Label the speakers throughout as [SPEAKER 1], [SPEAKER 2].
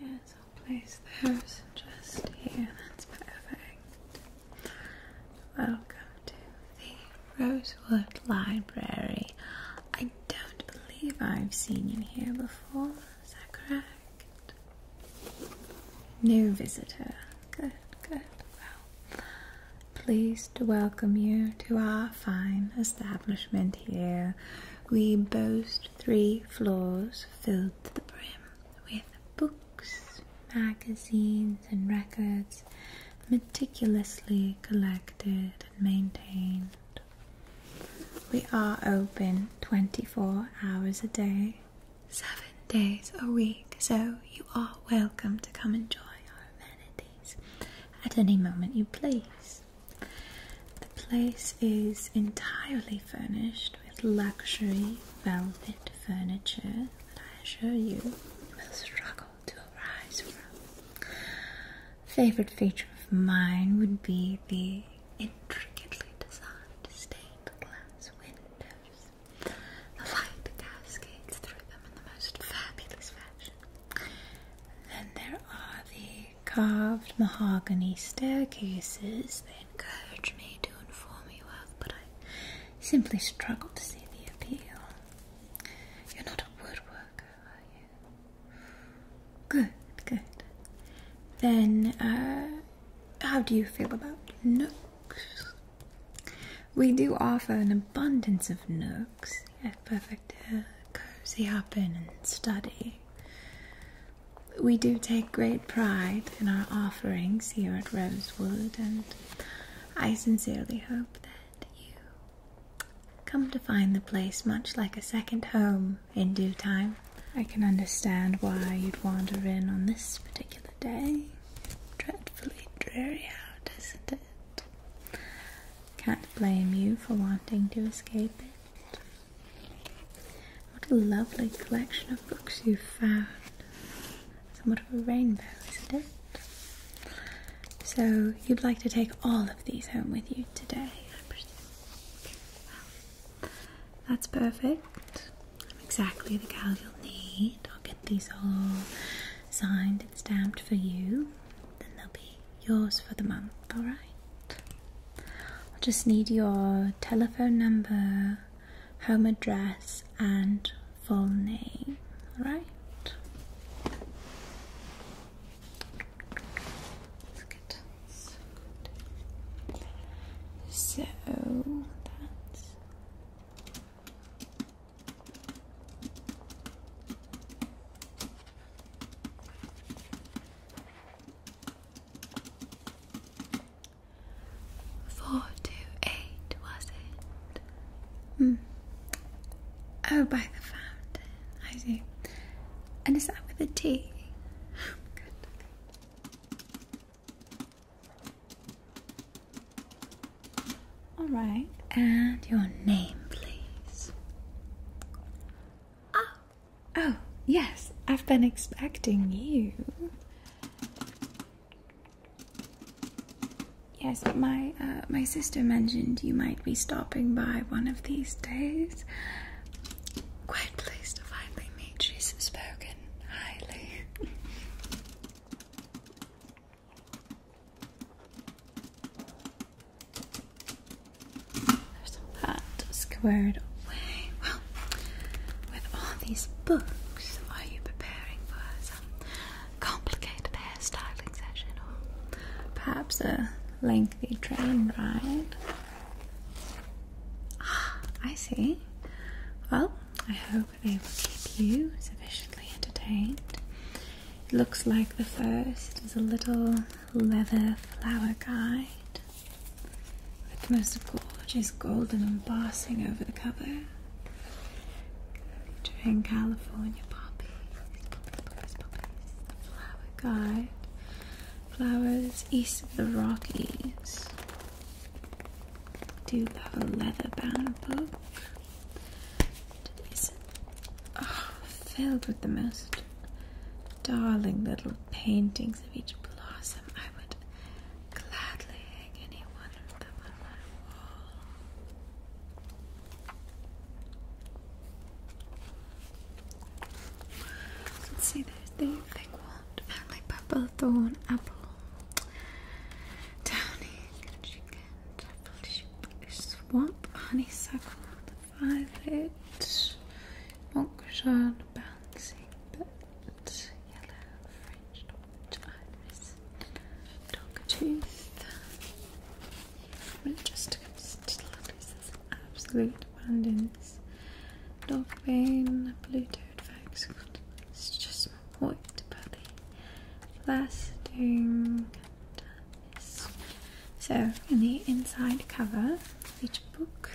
[SPEAKER 1] Yes, I'll place those just here. That's perfect. Welcome to the Rosewood Library. I don't believe I've seen you here before. Is that correct? New visitor. Good, good. Well, pleased to welcome you to our fine establishment here. We boast three floors filled to the brim with books, magazines, and records meticulously collected and maintained. We are open 24 hours a day, 7 days a week, so you are welcome to come enjoy our amenities at any moment you please. The place is entirely furnished with luxury velvet furniture that I assure you will struggle to arise from. Favorite feature of mine would be the intricately designed stained glass windows. The light cascades through them in the most fabulous fashion. then there are the carved mahogany staircases, they encourage me to inform you of, but I simply struggle to see the appeal. You're not a woodworker, are you? Good, good. Then, uh, how do you feel about nooks? We do offer an abundance of nooks, yeah, perfect uh, cozy up in and study. We do take great pride in our offerings here at Rosewood, and I sincerely hope that you come to find the place much like a second home in due time. I can understand why you'd wander in on this particular day. Dreadfully dreary out, isn't it? Can't blame you for wanting to escape it. What a lovely collection of books you've found. It's Somewhat of a rainbow, isn't it? So, you'd like to take all of these home with you today, I presume. that's perfect. I'm exactly the gal you'll need. I'll get these all signed and stamped for you then they'll be yours for the month, alright? I'll just need your telephone number, home address, and full name, alright? So that's Four Hmm. Oh, by the fountain. I see. And is that with a T? All right. And your name, please. Ah, oh, yes, I've been expecting you. Yes, my uh, my sister mentioned you might be stopping by one of these days. Quite pleased to finally meet. She's spoken highly. There's that squared away. with all these books, are you preparing for some complicated hairstyling session or perhaps a lengthy train ride? Ah, I see. Well, I hope they will keep you sufficiently entertained it looks like the first is a little leather flower guide with the most gorgeous golden embossing over the cover. Featuring California poppies, poppies, poppies, poppies, flower guide, flowers east of the Rockies. I do have a leather bound book filled with the most darling little paintings of each blossom. I would gladly hang any one of them on my wall. Let's see, there's the big wand, family purple thorn apple. Downy, Swamp honeysuckle, the violet, monk shard, bouncing bird, yellow, French orange iris, dogtooth. Majestic still is absolute abundance. Dog blue toad fox, it's just more white, but the blasting. So, in the inside cover of each book,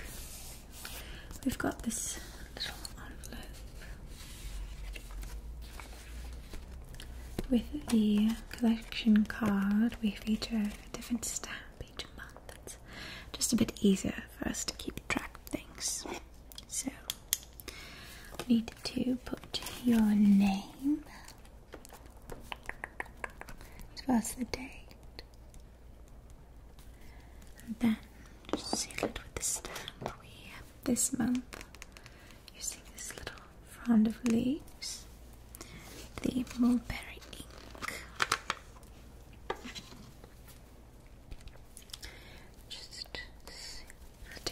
[SPEAKER 1] we've got this little envelope with the collection card. We feature a different stamp each month. That's just a bit easier for us to keep track of things. So, you need to put your name the date, And then just seal it with the stamp we have this month using this little frond of leaves, the mulberry ink. Just seal the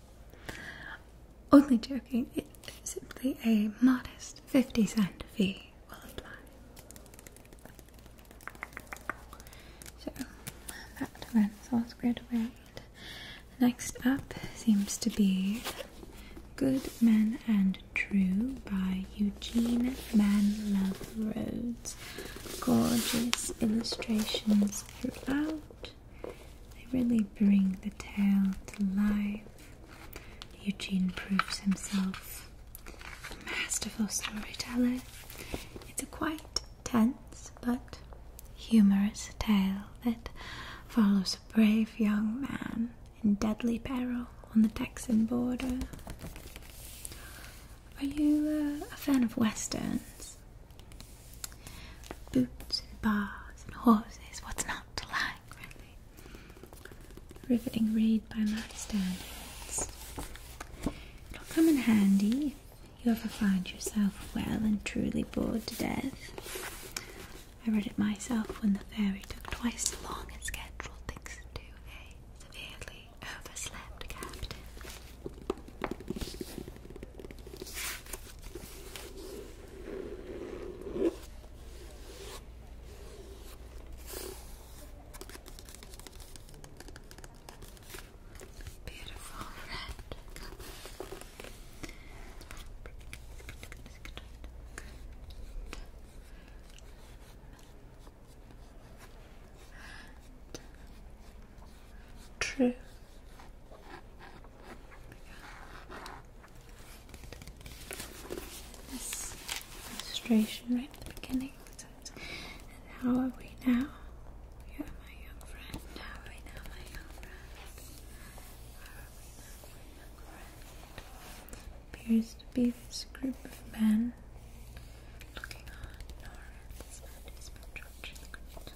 [SPEAKER 1] Only joking, it, simply a modest 50 cent fee will apply. So that Renaissance graduate. Next up seems to be Good Men and True by Eugene Manlove Rhodes. Gorgeous illustrations throughout. They really bring the tale to life. Eugene proves himself a masterful storyteller. It's a quite tense but humorous tale that follows a brave young man in deadly peril on the Texan border. Are you uh, a fan of westerns? Boots and bars and horses, what's not to like, really? Riveting read by my standards. It'll come in handy if you ever find yourself well and truly bored to death. I read it myself when the ferry took twice as long as scheduled, thanks to a eh? severely overslept captain. Beautiful red true this illustration right at the beginning. And how are we now? Yeah, are my young friend? How are we now, my young friend? Appears to be this group of men looking on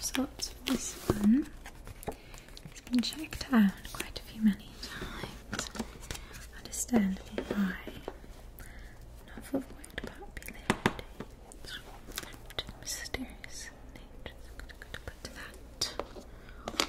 [SPEAKER 1] So the this one it has been checked out quite a few many times. Understand why not for popularity. mysterious nature. I'm gonna go to put that.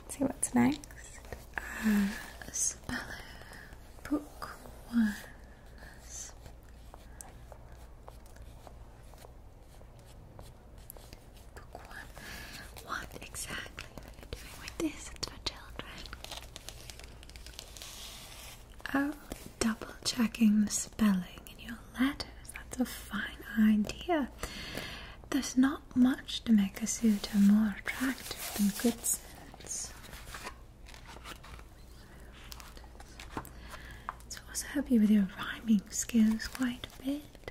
[SPEAKER 1] Let's see what's next. Uh, Speller Book One. Book One. What exactly are you doing with this? It's for children. Oh, double checking the spelling in your letters. That's a fine idea. There's not much to make a suitor more attractive than good sense. So also help you with your rhyming skills quite a bit.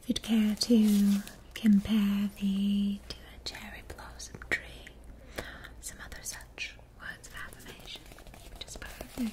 [SPEAKER 1] If you'd care to compare thee to a cherry blossom tree, some other such words of affirmation, which is perfect.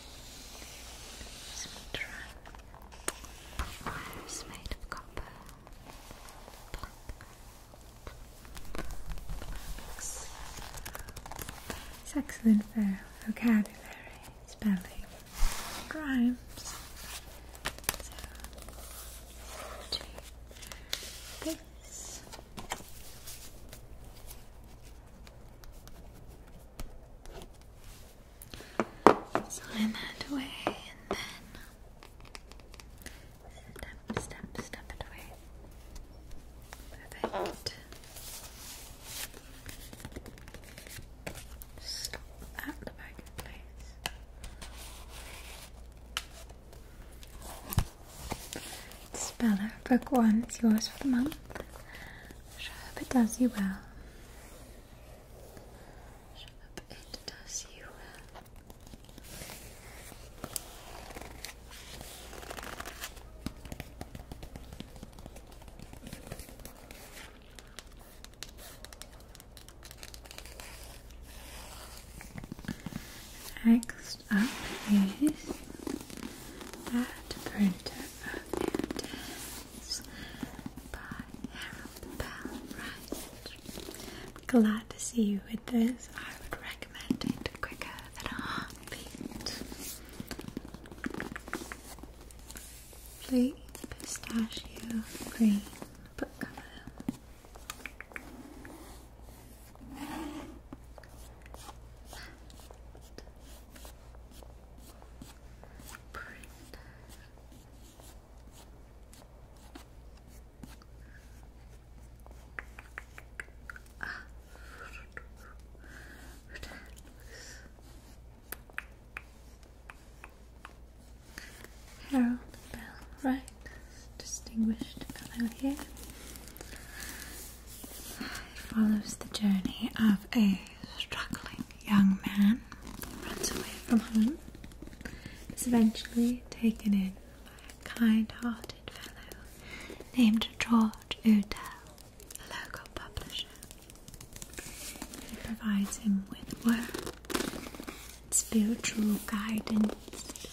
[SPEAKER 1] This one is made of copper. It's excellent vocabulary, spelling, rhymes. So, Sign that away and then step, step, step it away. Perfect. Stop that the back in Speller, book one It's yours for the month. I hope it does you well. I hope it does you well. Excellent up is that printer of Intense by Harold Bell Glad to see you with this. I would recommend it quicker than a heartbeat. Plate pistachio green book cover. Printer. Harold Bell Wright, distinguished fellow here. It follows the journey of a struggling young man who runs away from home, is eventually taken in by a kind-hearted fellow named George Udell, a local publisher. He provides him with work, spiritual guidance,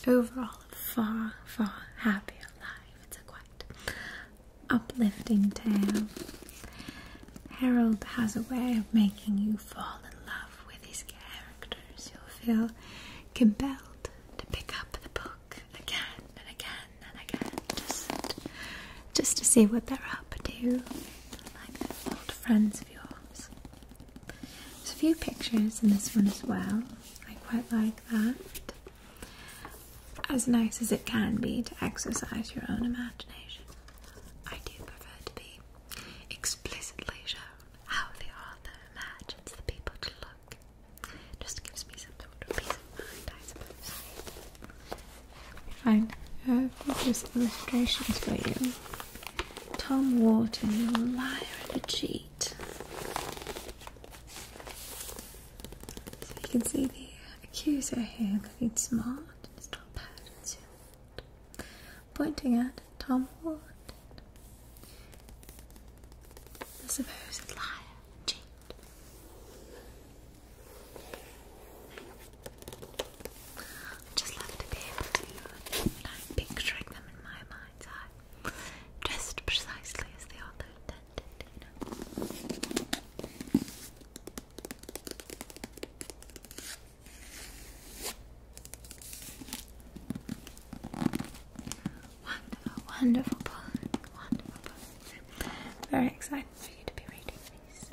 [SPEAKER 1] over all a far, far happier life uplifting tale. Harold has a way of making you fall in love with his characters. You'll feel compelled to pick up the book again and again and again just, just to see what they're up to. Like they're old friends of yours. There's a few pictures in this one as well. I quite like that as nice as it can be to exercise your own imagination. I do prefer to be explicitly shown how the author imagines the people to look. just gives me some sort of peace of mind, I suppose. Fine. Here are just illustrations for you. Tom Wharton, a liar and a cheat. So you can see the accuser here looking smart in his pointing at Tom Ward, the supposed liar, cheat. just love to be able to like, picturing them in my mind's eye, dressed precisely as they are that Wonderful, wonderful book, wonderful book. Very excited for you to be reading this.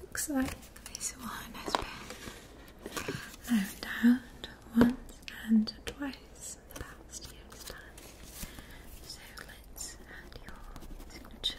[SPEAKER 1] Looks like this one has been known once and twice in the past year's time. So let's add your signature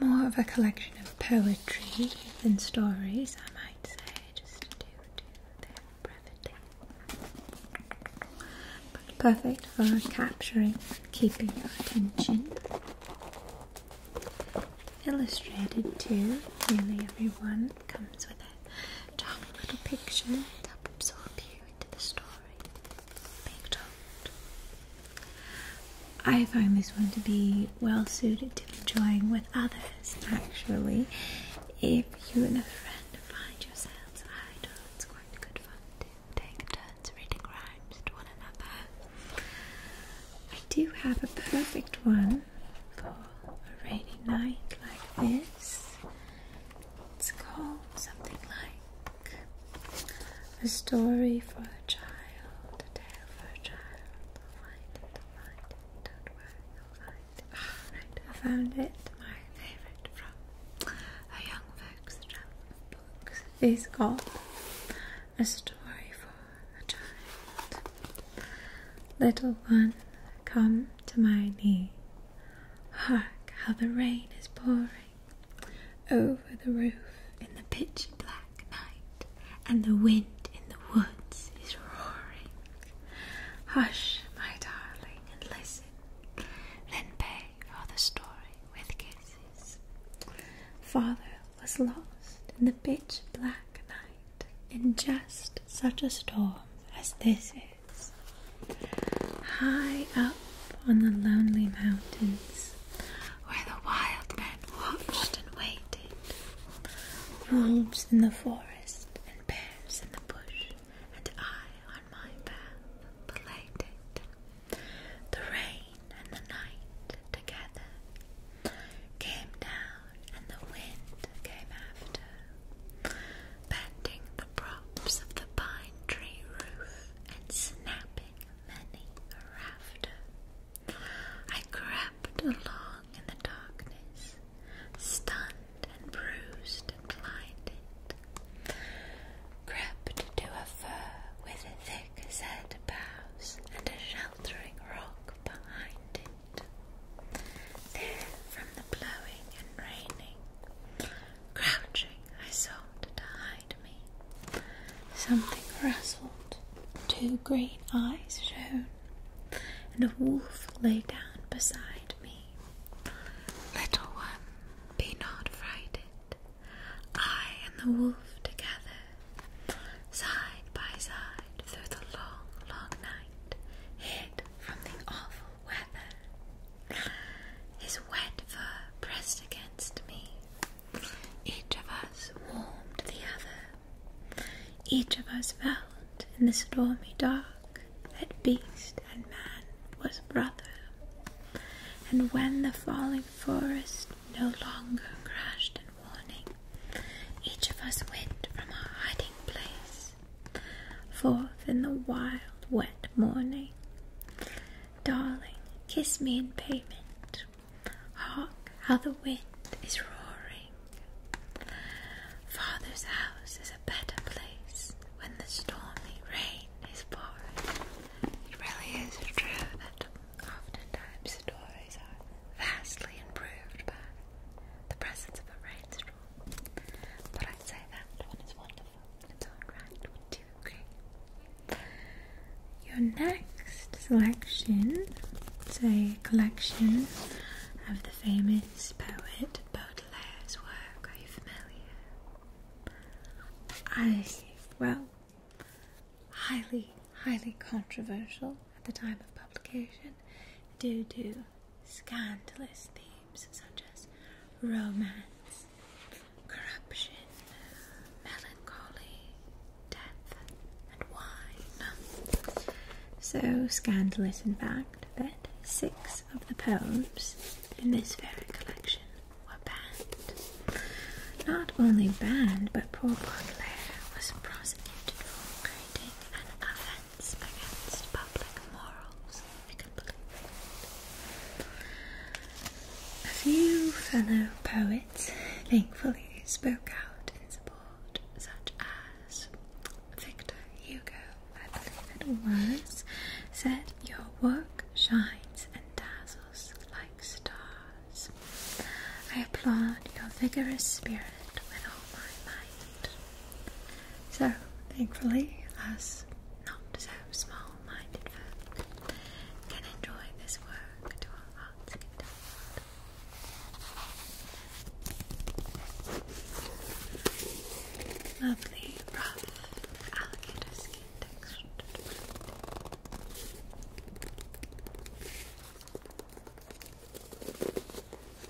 [SPEAKER 1] More of a collection of poetry than stories, I might say, just to do their brevity. But perfect for capturing, keeping your attention. Illustrated too, nearly everyone comes with a charming little picture to help absorb you into the story. I find this one to be well suited to enjoying with others, actually. If you and a friend find yourselves idle, it's quite good fun to take turns reading rhymes to one another. I do have a perfect one for a rainy night like this. It's called something like a story for a child, a tale for a child. I'll find it, i find it. Don't worry, I'll find it. Alright, I found it. My favorite from a young folks' book is called A Story for a Child. Little one, come to my knee. Hark, how the rain is pouring. Over the roof in the pitch black night, and the wind in the woods is roaring. Hush, my darling, and listen, then pay for the story with kisses. Father was lost in the pitch black night in just such a storm as this is. High up on the lonely mountains, where the wild men watched and waited, wolves in the forest and bears in the bush, and I on my path belated. The rain and the night together came down, and the wind came after bending the props of the pine tree roof and snapping many a rafter. I crept along in the darkness, stunned and bruised and blinded. Crept to a fir with thick set boughs and a sheltering rock behind it. There, from the blowing and raining, Crouching, I sought to hide me. Something rustled, two green eyes shone, and a wolf lay down beside me. Little one, be not frightened. I and the wolf together, side by side through the long, long night, hid from the awful weather. His wet fur pressed against me. Each of us warmed the other. Each of us felt in the stormy dark that beast and man was brother. And when the falling forest no longer crashed in warning, each of us went from our hiding place forth in the wild, wet morning. Darling, kiss me in payment. Hark, how the wind is roaring. Father's house is a better place when the stormy rain is pouring. It really is true that oftentimes stories are vastly improved by the presence of a rainstorm. But i say that one is one your next selection is a collection of the famous poet Baudelaire's work. Are you familiar? I, well, highly, highly controversial at the time of publication Do do scandalous themes such as romance, corruption, melancholy, death, and wine. So scandalous, in fact, that six of the poems in this very collection were banned. Not only banned, but poor Baudelaire was prosecuted for creating an offence against public morals, I believe A few fellow poets thankfully spoke out in support, such as Victor Hugo, I believe it was, said, Your work shines and dazzles like stars. I applaud your vigorous spirit with all my might. So, thankfully, us not so small minded folk can enjoy this work to our heart's content. Lovely, rough alligator skin texture.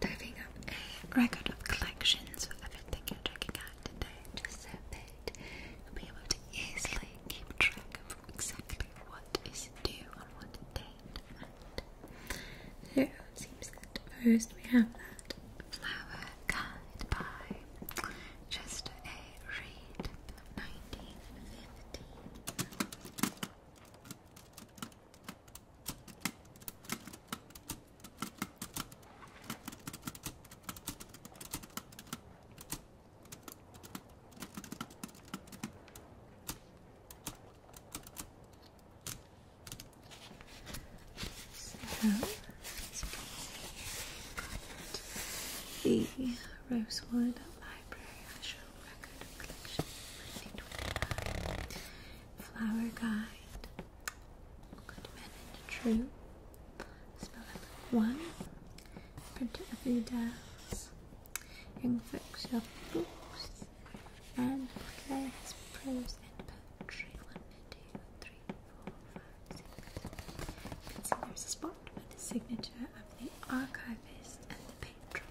[SPEAKER 1] diving up a record of collections of everything you're checking out today, just so that you'll be able to easily keep track of exactly what is due on what date. So it seems that first we have that flower guide by Chester A. Reed, 1950. So, as you can see here, we've got the Rosewood Library National Record Collection 1925 flower guide. Good men and true. Spell number one. Print of the dolls. Young folks love books. And plays, prose, and poetry. One, two, three, four, five, six. there's a spot with the signature of the archivist and the patron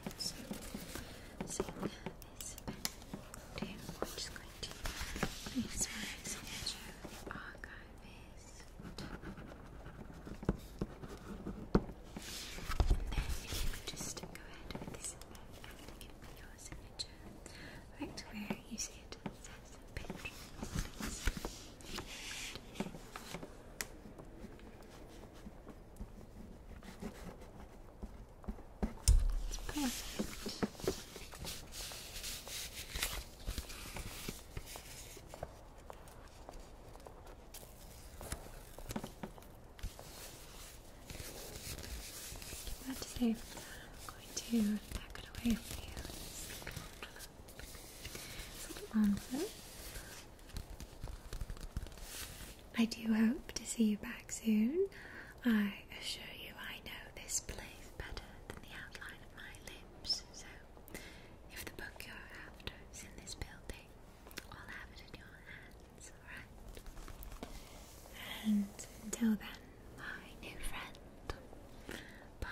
[SPEAKER 1] this I'm just going to place my signature in and then if you could just go ahead and give me your signature right where you see it says picture it's perfect. I am going to pack it away for you. It's a little I do hope to see you back soon. I assure you, I know this place better than the outline of my lips. So, if the book you're after is in this building, I'll have it in your hands, alright? And until then, my new friend, Bon